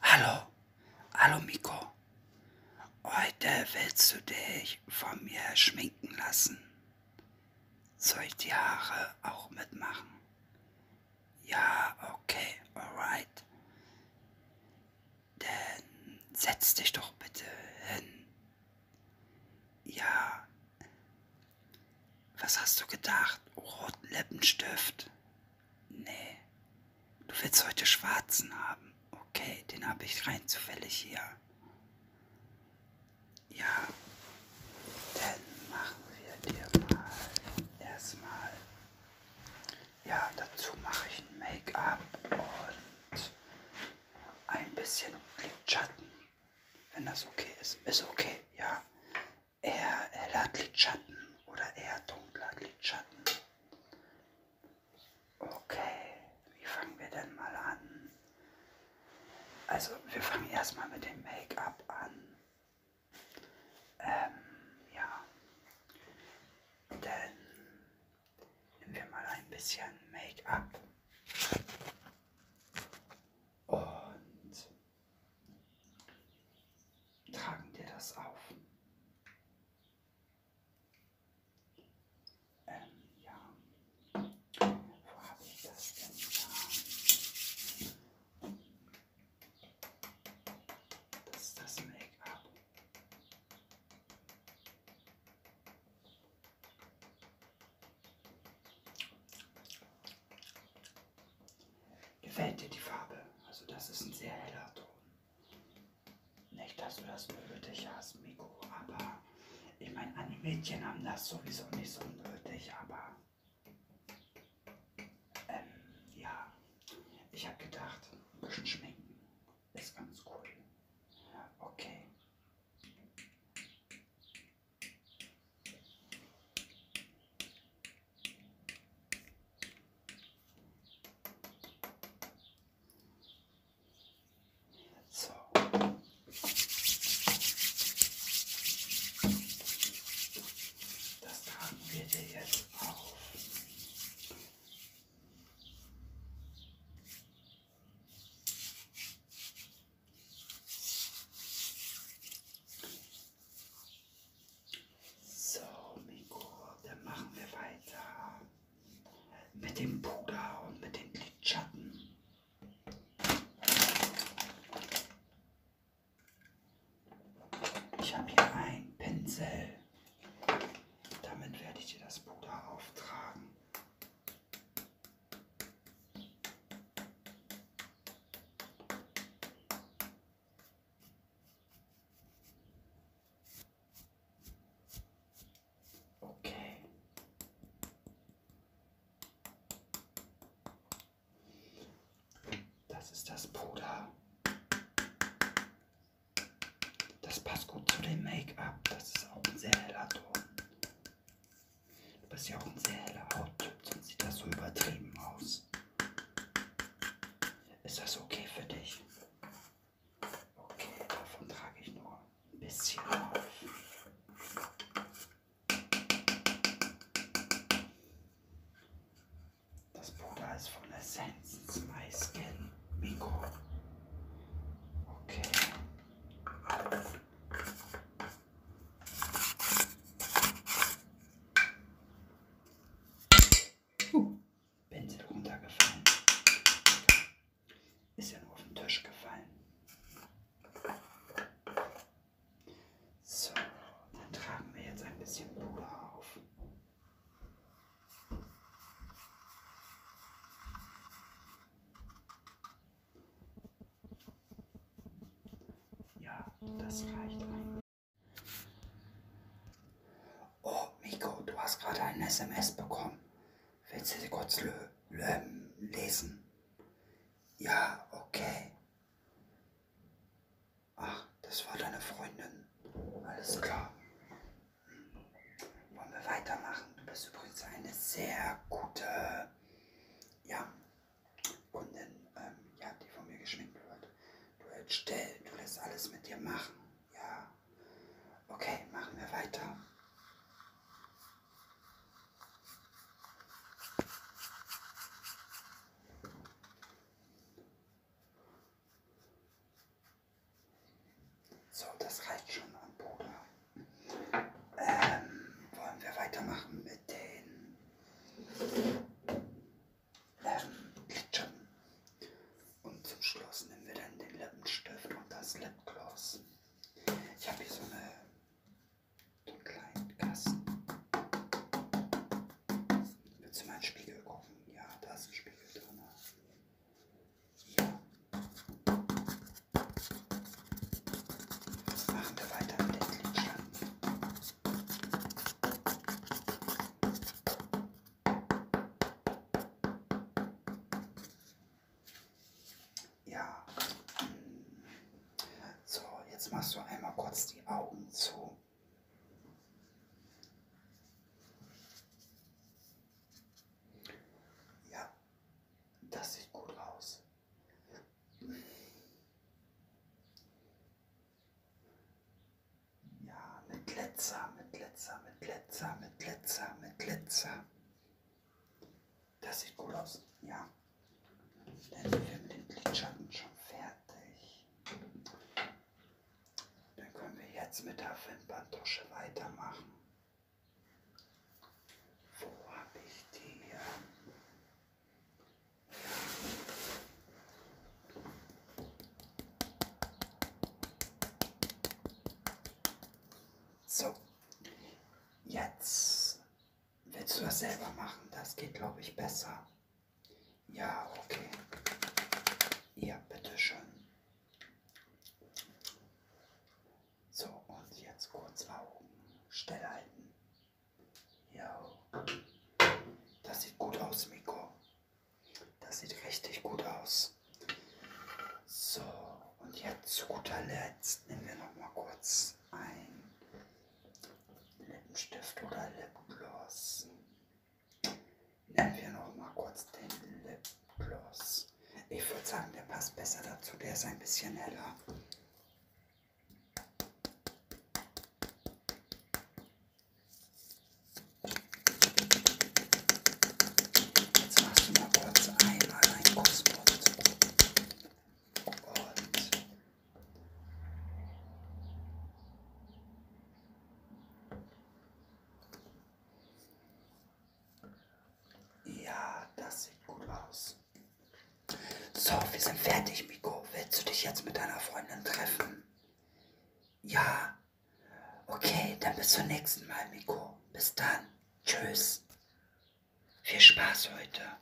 Hallo, hallo Miko. Heute willst du dich von mir schminken lassen. Soll ich die Haare auch mitmachen? Ja, okay, alright. Dann setz dich doch bitte hin. Ja. Was hast du gedacht? Roten Lippenstift. Nee. Du willst heute schwarzen haben. Okay, den habe ich rein zufällig hier. Ja. Dann machen wir dir mal erstmal. Ja, dazu mache ich ein Make-up und ein bisschen Lidschatten. Wenn das okay ist. Ist okay, ja eher heller Lidschatten oder eher dunkler Lidschatten? Okay, wie fangen wir denn mal an? Also, wir fangen erstmal mit dem Make-up an. Ähm, ja. Denn nehmen wir mal ein bisschen Make-up. Und Tragen dir das auf. Ähm, ja. Wo habe ich das denn da? Das ist das Make-up. Gefällt dir die Farbe? Also das ist ein sehr heller Ton. Nicht, dass du das nötig hast, Miko, aber ich meine, Animädchen haben das sowieso nicht so nötig, aber ähm, ja, ich habe gedacht, ein bisschen schminken ist ganz cool. Okay. So. Das tragen wir dir jetzt auf. So, Miko, dann machen wir weiter mit dem Puder und mit den Lidschatten. Ich habe hier einen Pinsel. Damit werde ich dir das Puder auftragen. Okay. Das ist das Puder. Das passt gut zu dem Make-up. Das ist auch ein sehr heller Ton. Du bist ja auch ein sehr heller Hauttyp, sonst sieht das so übertrieben aus. Ist das okay für dich? Okay, davon trage ich nur ein bisschen auf. Das Puder ist von Essenz My Skin Mikro. Okay. Uh, Pinsel runtergefallen. Ist ja nur auf den Tisch gefallen. So, dann tragen wir jetzt ein bisschen Puder auf. Ja, das reicht eigentlich. Oh, Miko, du hast gerade eine SMS bekommen. Willst du sie kurz lö ähm, lesen? Ja, okay. Ach, das war deine Freundin. Alles klar. Wollen wir weitermachen? Du bist übrigens eine sehr gute. Ja, und dann ähm, ja, die von mir geschminkt wird. Du hältst still, du lässt alles mit dir machen. Ja. Okay, machen wir weiter. So, das reicht schon an Bruder. Ähm, wollen wir weitermachen mit den ähm, Läppchen. Und zum Schluss nehmen wir dann den Lippenstift und das Lipgloss. Ich habe hier so, eine, so einen kleinen Kasten. Willst du mal in den Spiegel gucken? Ja, da ist ein Spiegel drin. Ja. Machen wir weiter mit den Glidschatten. Ja. So, jetzt machst du einmal kurz die Augen zu. Ja, das sieht gut aus. Ja, mit Glitzer, mit Glitzer, mit Glitzer, mit Glitzer, mit Glitzer. Das sieht gut aus. Ja. Dann sind wir mit dem Lidschatten schon fertig. Dann können wir jetzt mit der Wimperntusche weitermachen. Wo habe ich die? So, jetzt willst du das selber machen. Das geht, glaube ich, besser. Ja, okay. Ja, bitteschön. So, und jetzt kurz Augen. Stell halten. Ja. Das sieht gut aus, Miko. Das sieht richtig gut aus. So, und jetzt zu guter Letzt nehmen wir noch mal kurz ein Lippenstift oder Lipgloss. Nehmen wir noch mal kurz den Lipgloss. Ich würde sagen, der passt besser dazu. Der ist ein bisschen heller. Jetzt machst du mal kurz einmal einen Kussmund und ja, das sieht gut aus. So, wir sind fertig, Miko. Willst du dich jetzt mit deiner Freundin treffen? Ja. Okay, dann bis zum nächsten Mal, Miko. Bis dann. Tschüss. Viel Spaß heute.